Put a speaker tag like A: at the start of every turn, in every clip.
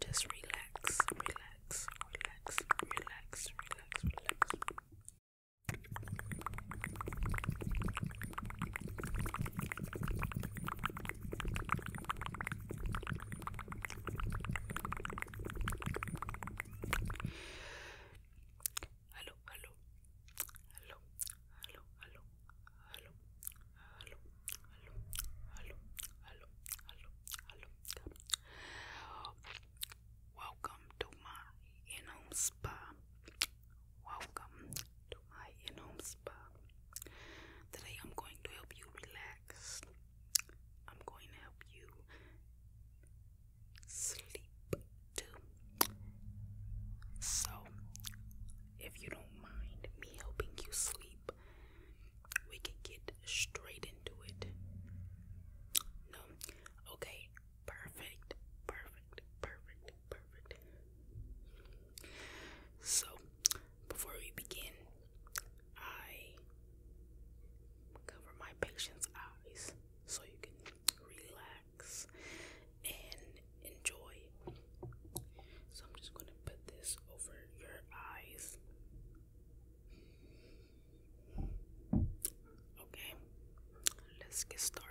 A: Just relax, relax, relax, relax, relax, relax.
B: Hello, hello, hello, hello, hello, hello, hello, hello, hello, hello, hello, hello. Welcome to my in-home spa. Welcome to my in-home spa. Today I'm going to help you relax. I'm going to help you sleep too. So, if you don't mind me helping you sleep, we can get straight into it. No, okay, perfect, perfect, perfect, perfect. So, before we begin, I cover my patient's eyes so you can relax and enjoy. So, I'm just going to put this over your eyes. Okay, let's get started.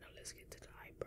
B: Now let's get to the eyebrow.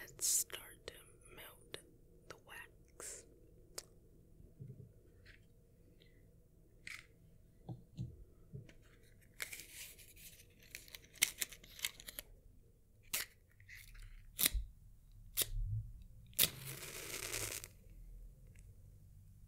A: Let's start to melt the wax.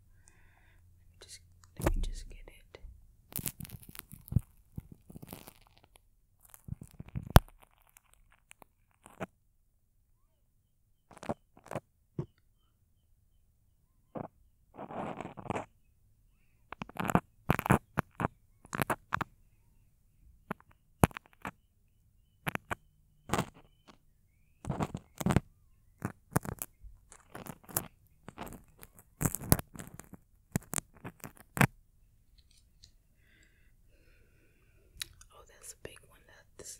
A: Let me just let me just get it. Oh, that's a big one. That's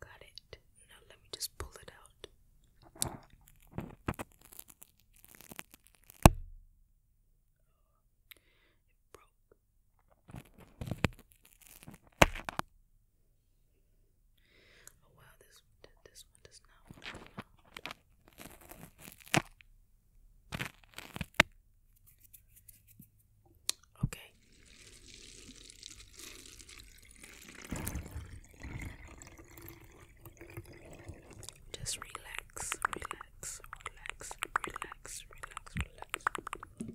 A: Got it. Now let me just pull it out. It broke. Oh wow, this this one does not out. Okay. Just relax, relax, relax, relax, relax, relax.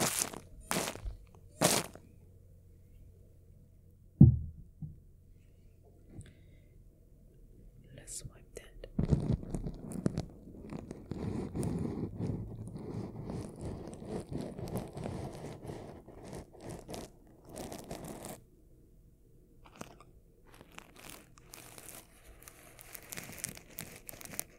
A: Let's wipe that.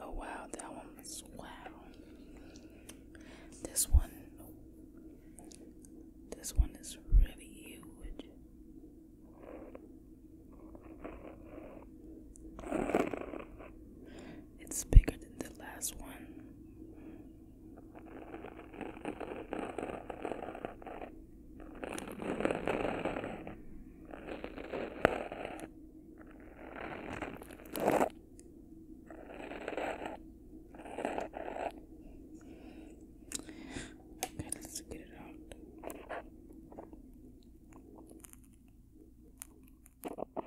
B: Oh wow, that one was wow. This one this one is really huge. It's bigger than the last one. Okay, let's get it out. Oh wow.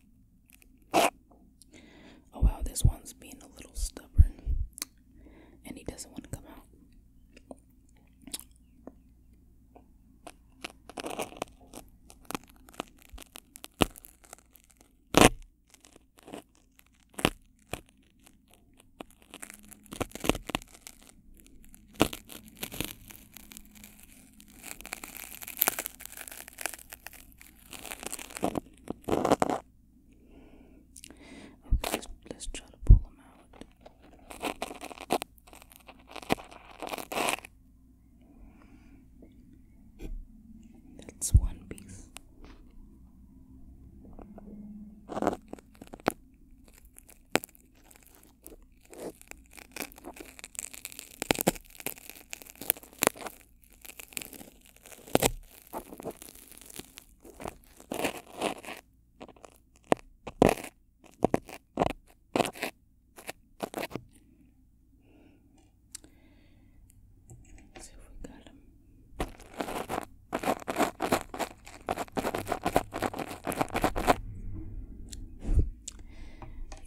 B: Oh wow, this one's being a little stubborn and he doesn't want to come out. Okay, let's, let's try to pull them out. That's one piece. Let's see if we got him.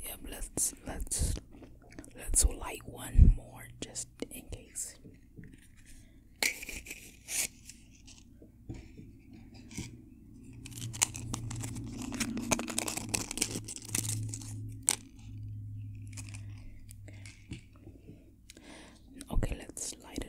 B: Yep, let's let's let's light one more just in case. Okay, let's light it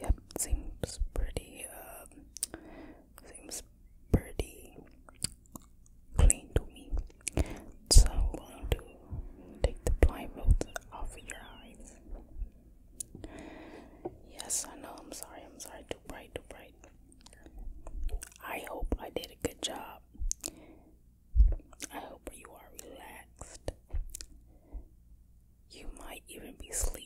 B: Yep, seems pretty, um, seems pretty clean to me. So I'm going to take the blindfolds off your eyes. Yes, I know, I'm sorry, I'm sorry right, right. I hope I did a good job. I hope you are relaxed. You might even be asleep.